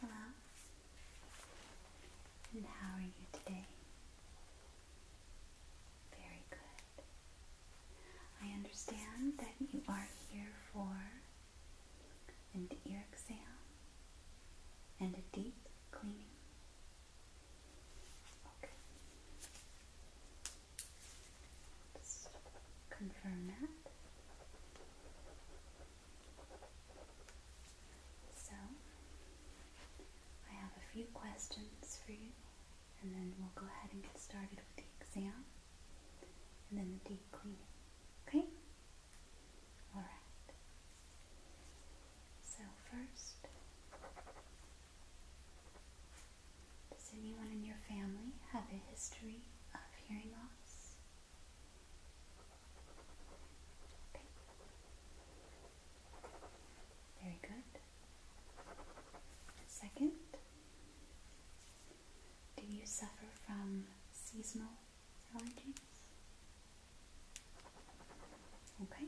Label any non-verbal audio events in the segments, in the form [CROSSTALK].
Hello, and how are you today? Very good. I understand that you are here for an ear exam and a deep cleaning. Okay. Just confirm that. So, I have a few questions for you, and then we'll go ahead and get started with the exam and then the deep cleaning. Okay? Alright. So, first, does anyone in your family have a history of hearing loss? Very good. Second, do you suffer from seasonal allergies? Okay,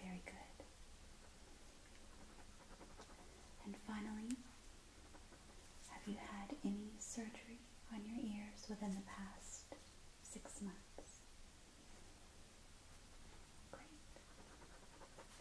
very good. And finally, have you had any surgery on your ears within the past six months? Great.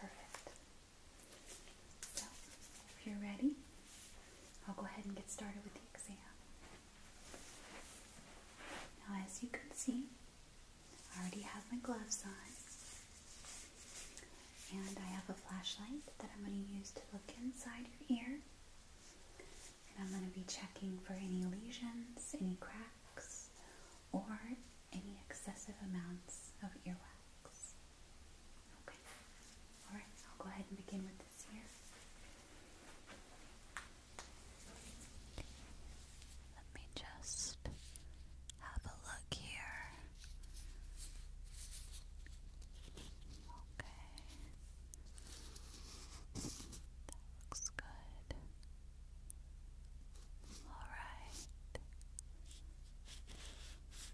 Perfect. So, if you're ready, I'll go ahead and get started with the exam. Now, as you can see, I already have my gloves on. And I have a flashlight that I'm going to use to look inside your ear. And I'm going to be checking for any lesions, any cracks, or any excessive amounts of earwax. Okay. Alright, I'll go ahead and begin with this ear. Let me just have a look here. Okay. That looks good. Alright.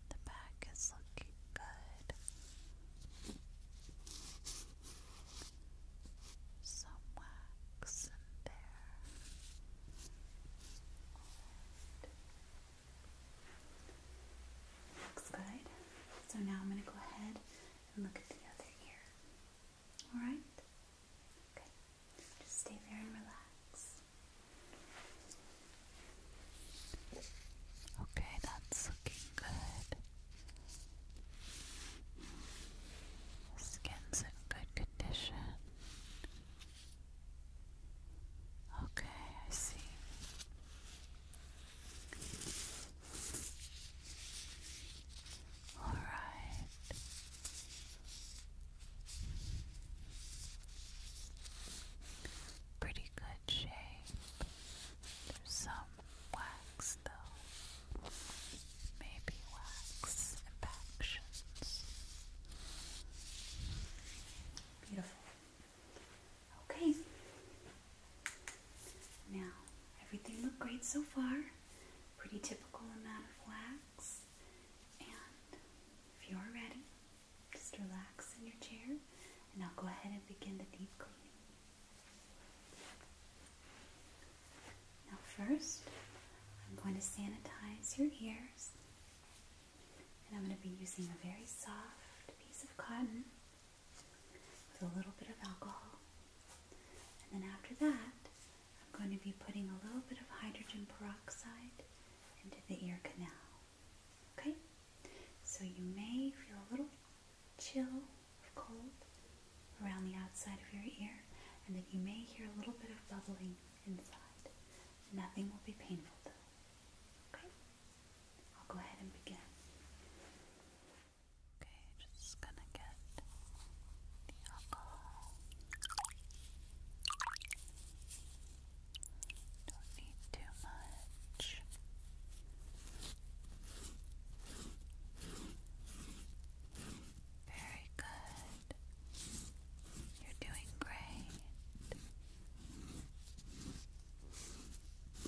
The back is looking good. Some wax in there. Right. Looks good. So now I'm going to go ahead and look at the other ear. Alright? Okay. Just stay there and relax. Okay, that's looking good. skin's in good condition. Okay, I see. All right. Pretty good shape. some wax though. Maybe wax impactions. Beautiful. Okay. Now, everything looked great so far. Pretty typical amount of wax. And if you are ready, just relax in your chair and I'll go ahead and begin the deep cleaning. Now, first, I'm going to sanitize your ears and I'm going to be using a very soft piece of cotton with a little bit of alcohol. And then after that, I'm going to be putting a little bit of hydrogen peroxide into the ear canal. Okay? So you may feel a little chill or cold around the outside of your ear, and then you may hear a little bit of bubbling inside. Nothing will be painful though. Okay, I'll go ahead and begin. Okay, just gonna get the alcohol. Don't need too much. Very good. You're doing great.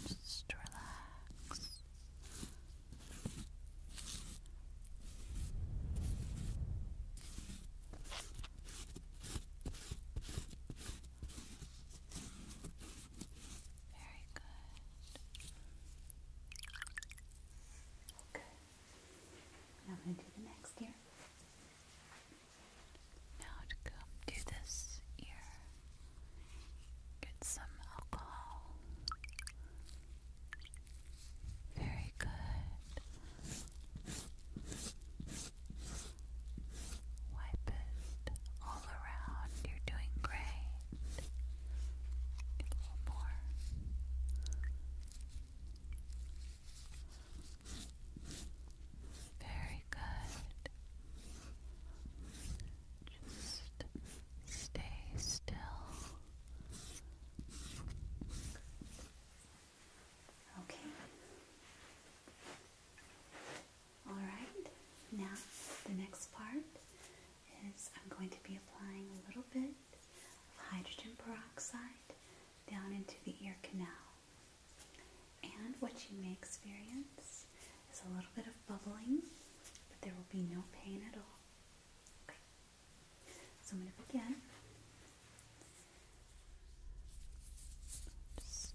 Just relax. Very good. Okay. Now I'm going to do the next here. Now to come do this ear, get some alcohol. Very good. Wipe it all around. You're doing great. a little more. Very good. Just stay still. Okay. All right. Now, the next part is I'm going to be applying a little bit of hydrogen peroxide down into the ear canal. And what you may experience is a little bit of bubbling, but there will be no pain at all. Okay. So I'm going to begin. Just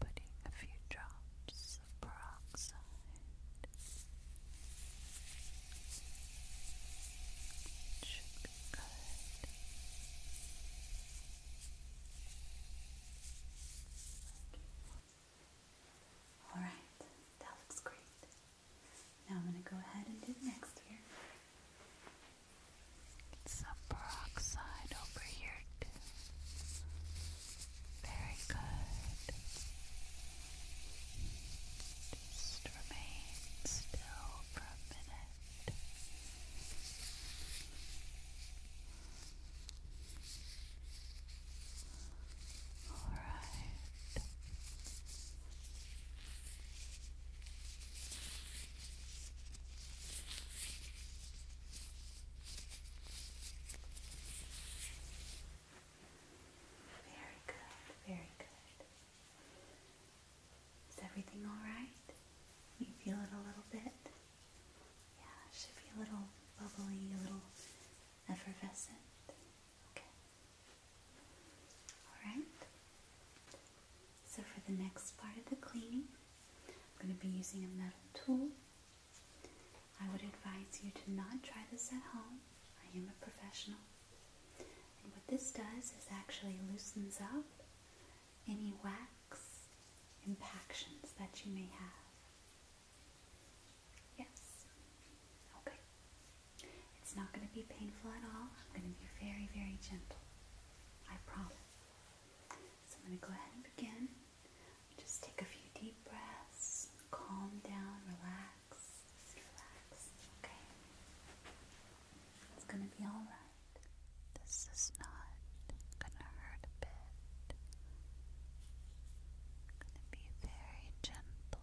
putting a few drops of peroxide. All right, that looks great. Now I'm going to go ahead and do next here. some peroxide over here Very good. Just remain still for a minute. All right. Very good, very good. Is everything alright? You feel it a little bit? Yeah, it should be a little bubbly, a little effervescent. Okay. Alright. So for the next part of the cleaning, I'm going to be using a metal tool. I would advise you to not try this at home. I am a professional. And what this does is actually loosens up any wax impactions that you may have. Yes. Okay. It's not going to be painful at all. I'm going to be very, very gentle. I promise. So I'm going to go ahead and begin. Just take a few deep breaths, calm down, relax relax, okay? It's gonna be alright. This is not gonna hurt a bit. gonna be very gentle.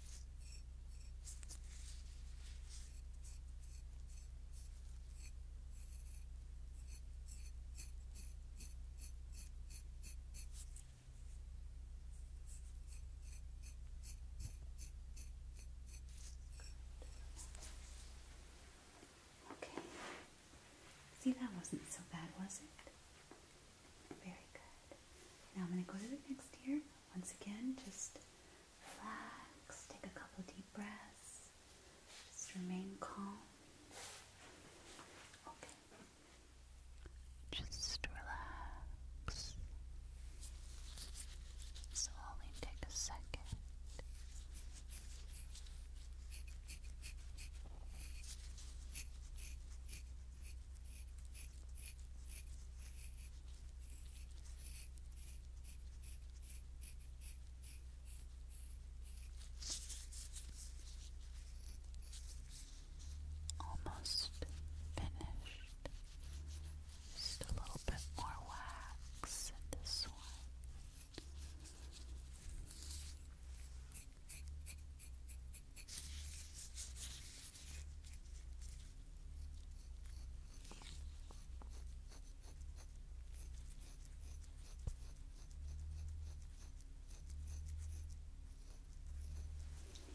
Okay. See, that wasn't so bad, was it? Very good. Now I'm going to go to the next ear. Once again, just relax, take a couple deep breaths, just remain calm. Okay. Just relax. Slowly take a second. Almost finished. Just a little bit more wax in this one.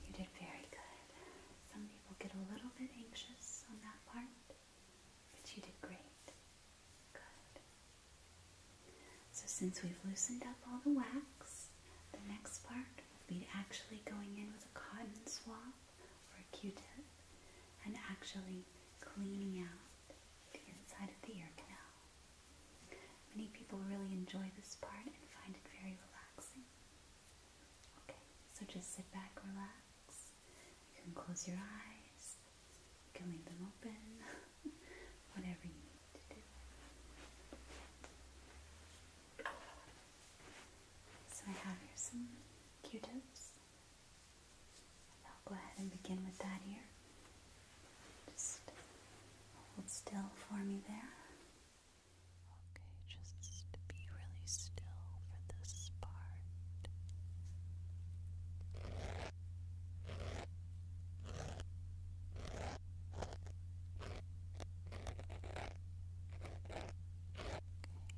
You did very good. Some people get a little bit anxious on that part, but you did great. Good. So, since we've loosened up all the wax, the next part will be actually going in with a cotton swab or a q-tip and actually cleaning out the inside of the ear canal. Many people really enjoy this part and find it very relaxing. Okay, so just sit back, relax. You can close your eyes, you can leave them open, [LAUGHS] whatever you need to do. So I have here some Q-tips. I'll go ahead and begin with that here. Just hold still for me there. Okay, just be really still for this part.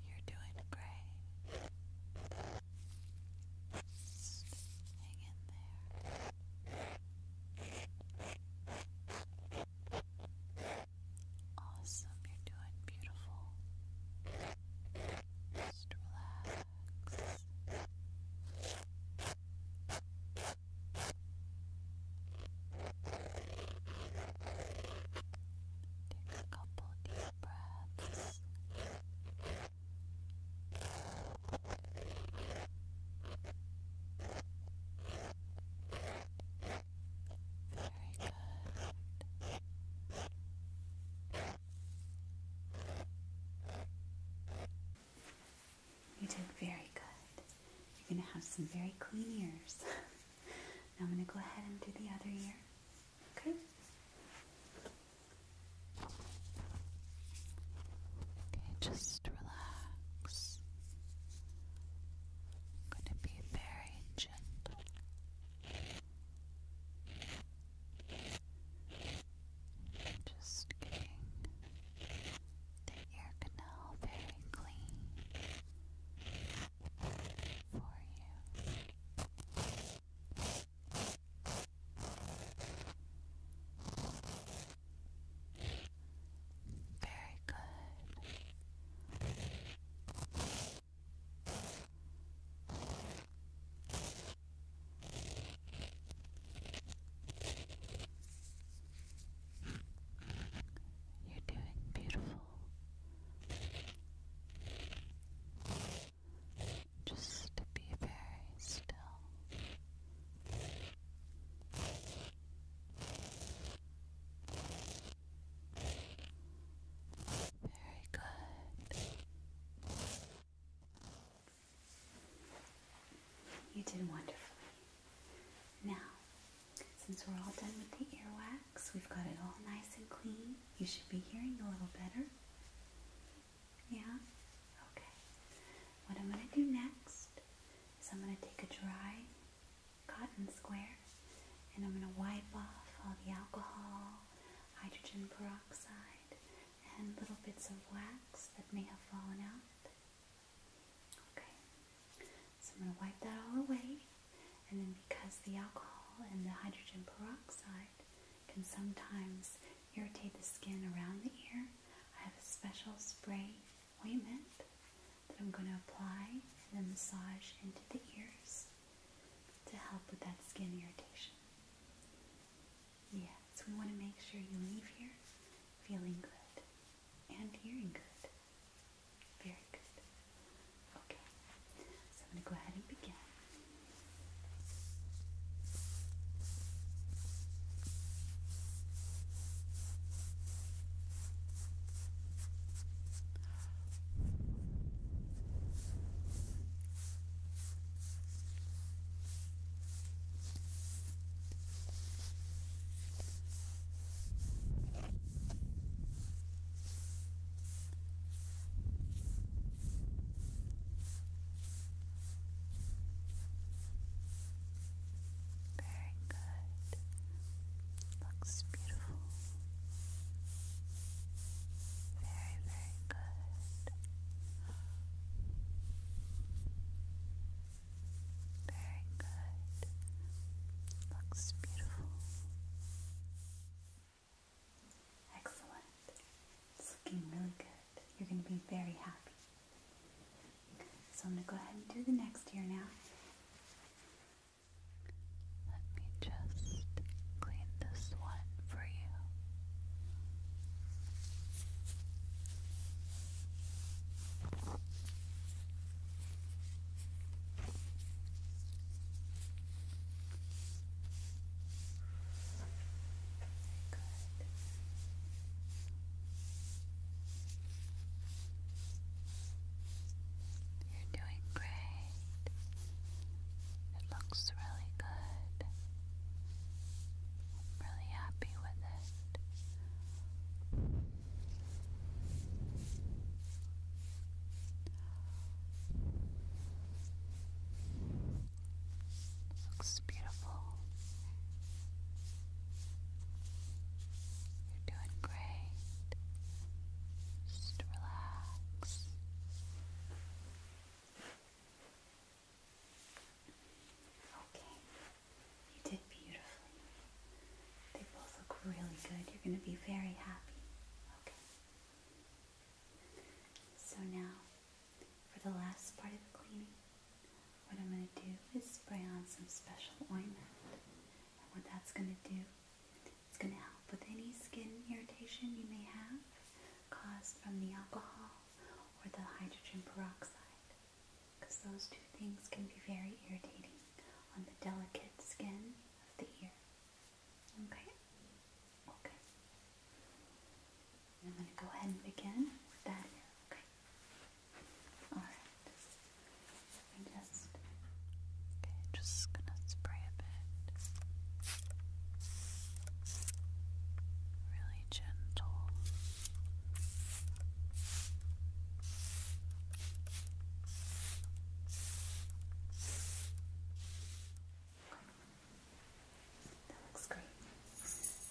You're doing great. hang in there. Awesome, you're doing beautiful. Just relax. Take a couple deep breaths. Very good. You did very good. You're going to have some very clean ears. [LAUGHS] now I'm going to go ahead and do the other ear. Okay? Okay, just relax. I'm going to be very gentle. Just getting the ear canal very clean for you. Very good. You're doing beautiful. Just be very still. Very good. You did wonderfully. Now, since we're all done with the earwax, we've got it all nice and clean. You should be hearing a little better. Yeah? Okay. What I'm going to do next is I'm going to take a dry cotton square and I'm going to wipe off all the alcohol, hydrogen peroxide, and little bits of wax that may have fallen out. Okay, so I'm going to wipe that all away, and then because the alcohol and the hydrogen peroxide can sometimes irritate the skin around the ear, I have a special spray ointment that I'm going to apply and then massage into the ears to help with that skin irritation. so we want to make sure you leave here feeling good and hearing good. Very good. Okay, so I'm going to go ahead and begin. Very good. Looks beautiful. Very, very good. Very good. Looks beautiful. Excellent. It's looking really good. You're going to be very happy. So I'm going to go ahead and do the next ear now. Let me just clean this one for you. You're doing great. It looks really good. I'm really happy with it just looks beautiful. You're doing great. Just relax. Okay, you did beautifully. They both look really good. You're going to be very happy. Okay. So now, for the last part of the cleaning, what I'm going to do is spray on some special ointment. And what that's going to do, it's going to help with any skin irritation you may have caused from the alcohol or the hydrogen peroxide because those two things can be very irritating on the delicate skin of the ear. Okay? Okay. I'm going to go ahead and begin with that okay? Alright. i just... Okay, just going to spray a bit. Really gentle. That looks great.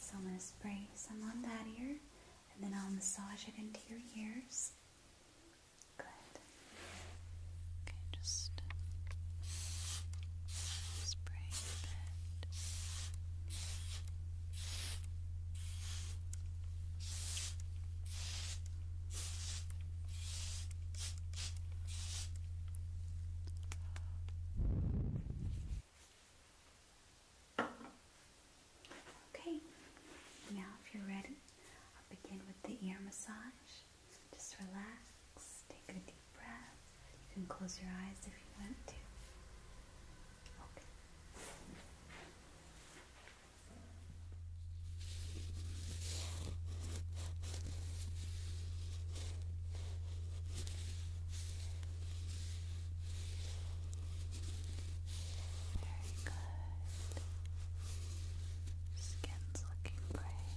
So I'm going to spray some on that ear and then I'll massage it into your ears. Good. Okay, just Okay, now if you're ready, I'll begin with the ear massage. Just relax, take a deep breath. You can close your eyes if you want to. Okay. Very good. Skin's looking great.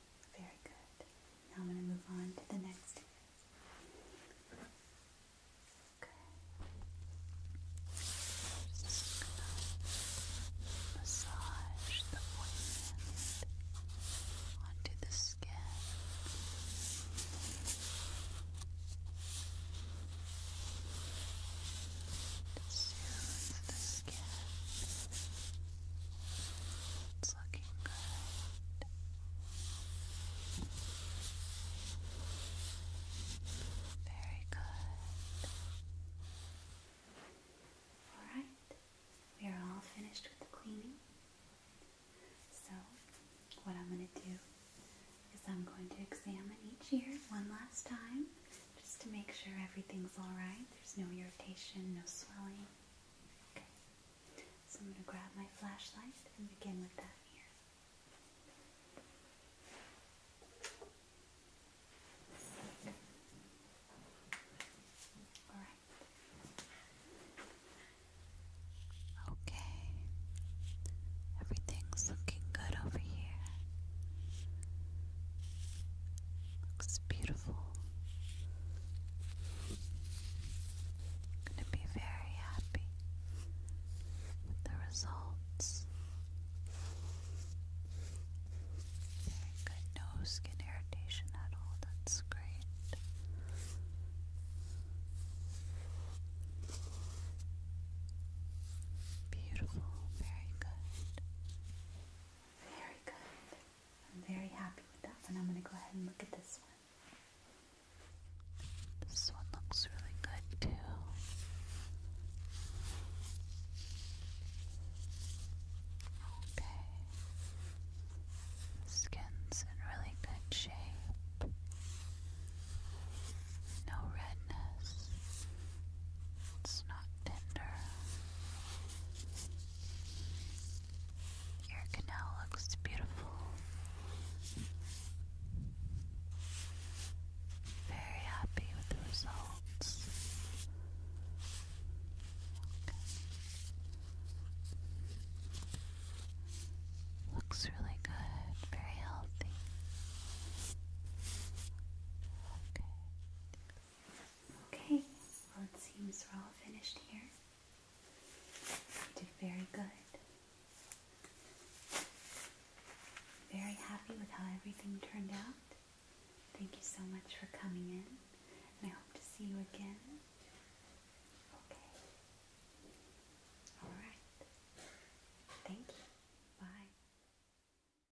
Very good. Now I'm going to move on to the next. Okay. massage the ointment onto the skin. To the skin. It's looking good. Very good. Alright, we are all finished with the cleaning. So, what I'm going to do is I'm going to examine each ear one last time just to make sure everything's alright. There's no irritation, no swelling. Okay. So I'm going to grab my flashlight and begin with that here. Alright. Okay. Everything's looking good over here. Looks beautiful. going to be very happy with the results. Very good. No skin irritation at all. That's great. Beautiful. Very good. Very good. I'm very happy with that one. I'm going to go ahead and look at this one. This one looks really good too. Okay. Skin's in really good shape. No redness. It's not tender. Your canal looks beautiful. Very happy with the results. Looks really good, very healthy. Okay. Okay, well, it seems we're all finished here. You did very good. Very happy with how everything turned out. Thank you so much for coming in, and I hope to see you again. Okay. All right. Thank you. Bye.